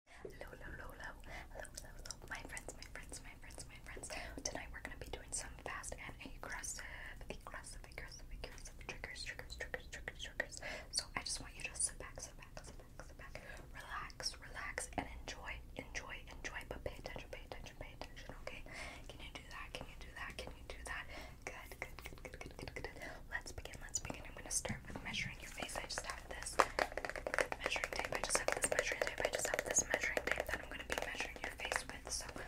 Hello, hello, my friends, my friends, my friends, my friends. Tonight we're gonna be doing some fast and aggressive, aggressive, aggressive, aggressive triggers, triggers, triggers, triggers, triggers. So I just want you to sit back, sit back, sit back, sit back, relax, relax, and enjoy, enjoy, enjoy. But pay attention, pay attention, pay attention. Okay? Can you do that? Can you do that? Can you do that? good, good, good, good, good, good. Let's begin. Let's begin. I'm gonna start better with measuring your face. I just have this measuring tape. I just have this measuring tape. I just have this measuring tape that I'm going to be measuring your face with. So I'm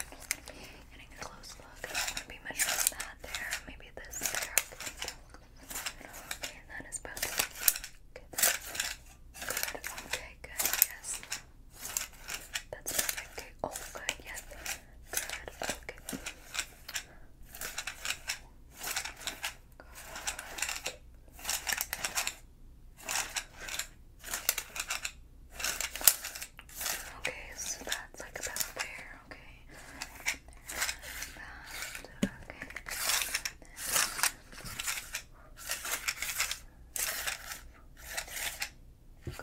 getting a close look. I'm going to be measuring that there. Maybe this there. Okay, that is both. Okay, good. Okay, good. Yes. That's perfect. Okay. Oh, good. Yes. Good. Okay. Okay, so that's like about there, okay. About, okay. Good, okay. let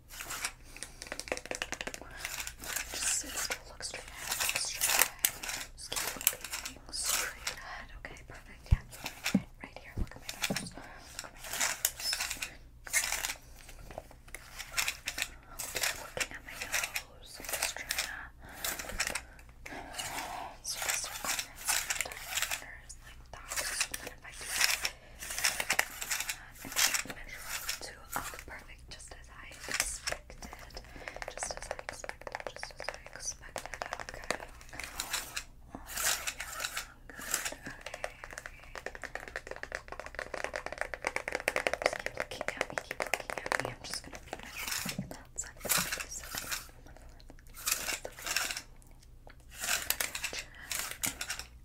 Just, just look straight ahead, look straight ahead. keep looking straight ahead. Okay, perfect. Yeah. right here. Look at my numbers. looking at my nose. I'm and measure up to perfect, just as I expected. Just as I expected, just as I expected. Okay. Oh, yeah, good. Okay. Just keep looking at me, keep looking at me. I'm just gonna be measuring that side of the face. Chin,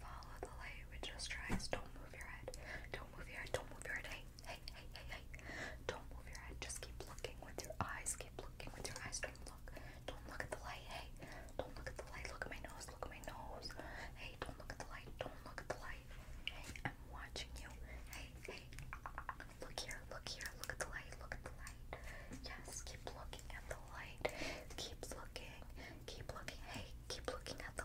Follow the light with just your eyes. Don't move your head. Don't move your head. Don't move your head. Hey, hey, hey, hey, hey. Don't move your head. Just keep looking with your eyes. Keep looking with your eyes. Don't look. Don't look at the light. Hey, don't look at the light. Look at my nose. Look at my nose. Hey, don't look at the light. Don't look at the light. Hey, I'm watching you. Hey, hey. Look here. Look here. Look at the light. Look at the light. Yes, keep looking at the light. Keep looking. Keep looking. Hey, keep looking at the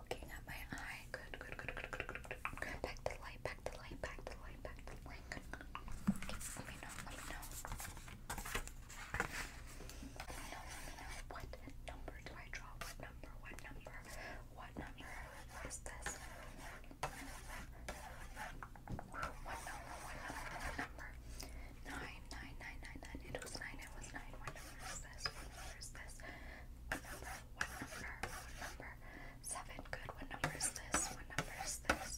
looking at my eye. Good, good, good, good, good, good, good. Back to light, back to light, back to light, back to light. Good. Okay, let me know, let me know. Let me know, let me know. What number do I draw? What number? What number? What number is this? What number? What number? What number? Nine, nine, nine, nine, nine. It was nine, it was nine. What number is this? What number is this? What number? What number? What number? Seven. Good. What number is this? What number is this?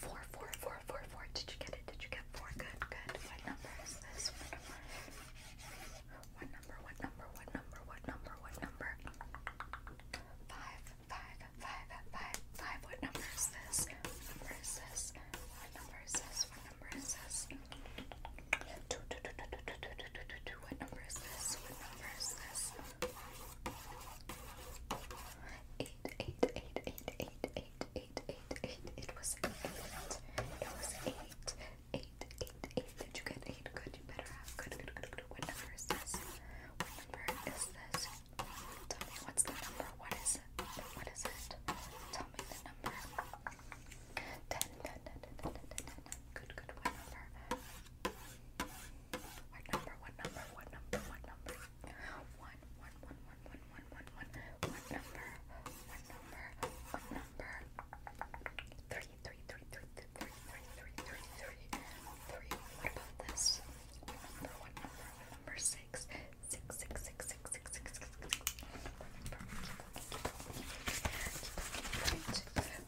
Four, four, four, four, four. Did you get it? Did you get four? Good, good. What number is this? What number? What number? What number? What number? What number? What number? Five, five, five, five, five. What number is this? What number is this? What number is this? number? number is this? Two, two, two, two, two, two, two, two, two. What number is this? What number is this? Eight, eight, eight, eight, eight, eight, eight, eight, eight. It was eight. It was eight. Eight, eight, eight. Did you get eight? Good, you better have. good. What number is this? What number is this? Tell me what's the number? What is it? What is it? Tell me the number. 10, Good, good. What number? What number? What number? What number? What number? One, one, one, one, one, one, one, one. What number? What number? What number? Three, three, three, three, three, three, three, three, three, three. What about this? What number? What number? What number? Six, six, six, six, six, six, six, six, six.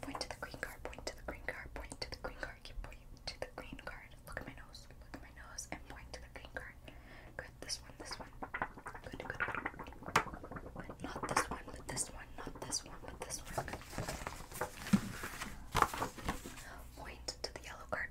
Point to the green card, point to the green card, point to the green card, keep pointing to the green card. Look at my nose, look at my nose, and point to the green card. Good, this one, this one. Good, good, good. Not this one, but this one, not this one, but this one. Good. Point to the yellow card,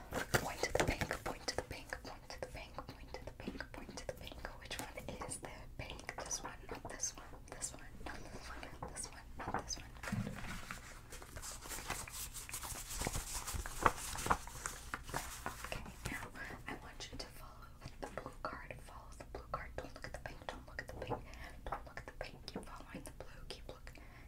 Point to the pink, point to the pink, point to the pink, point to the pink, point to the pink. Which one is the pink? This one, not this one, this one, not this one, not this one, not this one. Good. Okay, now I want you to follow the blue card. Follow the blue card. Don't look at the pink. Don't look at the pink. Don't look at the pink. Keep following the blue. Keep looking.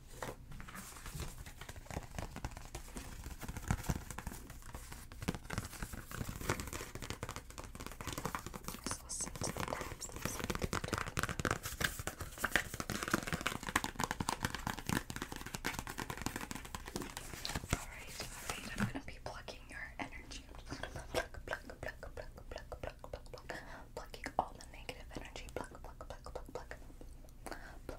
Just listen Alright, I'm gonna be plucking your energy. I'm gonna pluck, pluck, pluck, pluck, pluck, pluck, pluck, pluck, plucking all the negative energy. pluck, pluck, pluck, pluck. Pluck,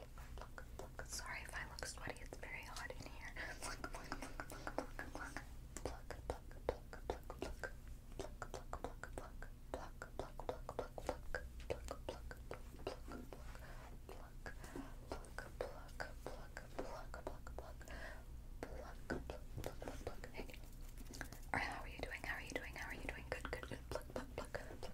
Pluck, pluck, pluck. Sorry if I look sweaty, it's very hot in here. Pluck, pluck, pluck, pluck, pluck, pluck. Pluck, pluck, pluck, pluck, pluck. Pluck, pluck, pluck, pluck. Pluck, pluck, pluck, pluck, pluck. Pluck, pluck, pluck, pluck, pluck. Pluck, pluck, pluck, pluck, pluck, pluck, pluck. Pluck, pluck, pluck, pluck, pluck. Hey. Alright, how are you doing? How are you doing? How are you doing? Good, good, good. Pluck, pluck, pluck, pluck, pluck,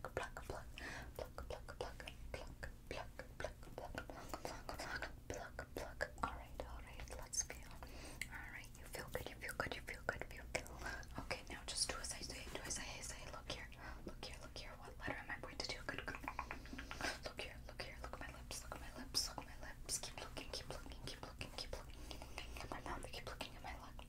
pluck, pluck, pluck, pluck, pluck, pluck, pluck, pluck, pluck, pluck, pluck, pluck, pluck. Alright, alright, let's feel. Alright, you feel good, you feel good, you feel good, you feel good. Okay, now just do as I say, do as I say, look here, look here, look here. What letter am I pointed to? Good, good. Look here, look here, look at my lips, look at my lips, look at my lips. Keep looking, keep looking, keep looking, keep looking, keep looking at my mouth, keep looking at my lip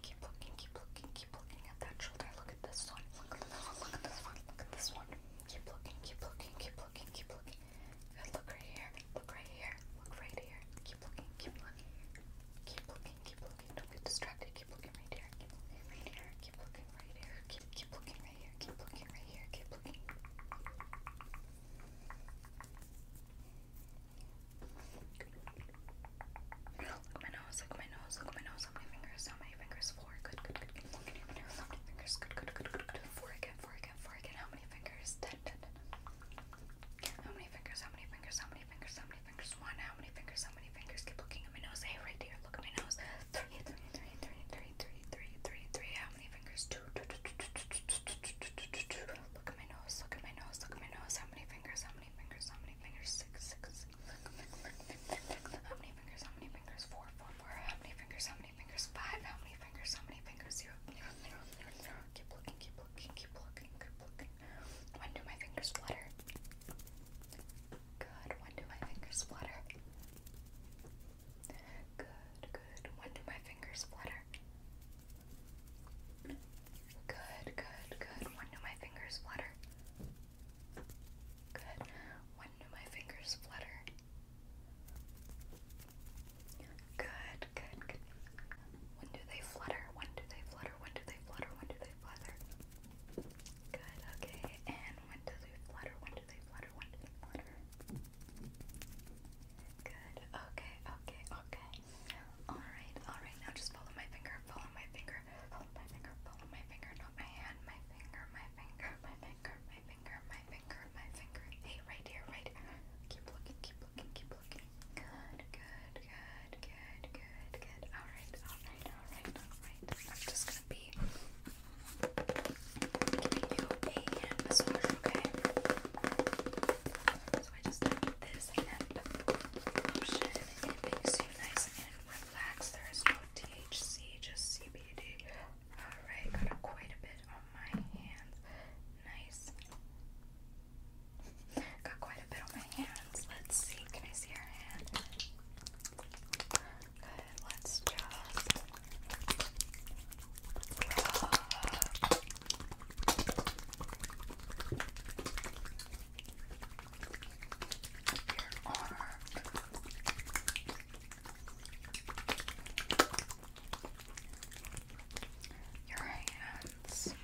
keep looking, keep looking, keep looking at that shoulder. Look at this one. Look at this one. Look at this one. Look at this one. Keep looking, keep looking, keep looking, keep looking. Good. Look right here. Look right here. Look right here. Keep looking, keep looking. Keep looking, keep looking. Don't get distracted. Keep looking right here. Keep looking right here. Keep looking right here. Keep keep looking right here. Keep looking right here. Keep looking. Look my nose, look my nose, look my nose, how many fingers, how many fingers, four, good, good, good, good, look at your how many fingers, good, good, good, good, good, four again, four again, four again, how many fingers, ten, ten, ten, how many fingers, how many fingers, how many fingers, how many fingers, one, how many fingers, how many fingers, keep looking at my nose, hey, right there, look at my nose, three, three, three, three, three, three, three, three, three, how many fingers, two, two, two, two, two, two, two, two, two, two, two, two, Look at my nose, look at my nose, look at my nose. How many fingers, how many fingers, how many fingers? Six, six, How many fingers, how many fingers? Four, four, four. How many fingers, how many fingers? Five. How many fingers, how many fingers? Zero, zero, zero, zero, zero. Keep looking, keep looking, keep looking, keep looking. When do my fingers flutter? Good. When do my fingers flutter? Good, good. When do my fingers fingers flutter? Good, good, good. When do my fingers flutter? Good. When do my fingers flutter? Good, good, good. When do they flutter? When do they flutter? When do they flutter? When do they flutter? Good, okay. And when do they flutter? When do they flutter? When flutter? Good. Okay, okay, okay. Alright, alright. Now just follow my finger, follow my finger, follow my finger, follow my finger, not my hand, my finger, my finger, my finger, my finger, my finger, my finger. Hey, right here, right here. Keep looking, keep looking, keep looking. Good, good, good, good, good, good. Alright, alright, alright, alright. I'm just gonna be giving you a hand massage, okay? So I just have this hemp lotion. It makes you nice and relaxed. There is no THC, just CBD. Alright, got quite a bit on my hands. Nice. Got quite a bit on my hands. Let's see. Can I see your hand? Good. Let's just your hands. Your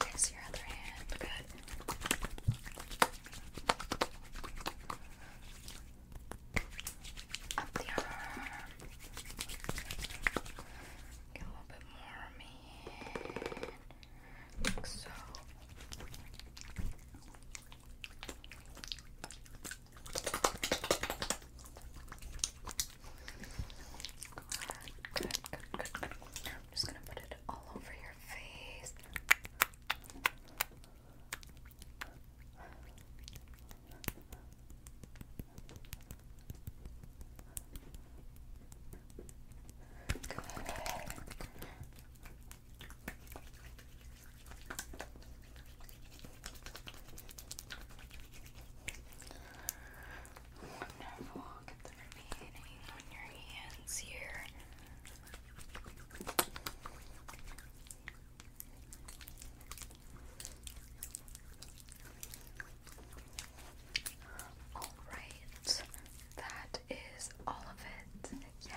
there's your other hand. Good. Up the arm. a little bit more, man. Like so. Good, good, I'm just gonna put it all over your face. Good. Wonderful. Get the remaining on your hands here. Alright, that is all of it. Yeah,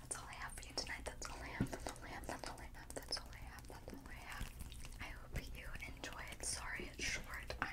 that's all I have for you tonight. That's all I have, that's all I have, that's all I have, that's all I have, that's all I have. I hope you enjoyed. Sorry it's short. I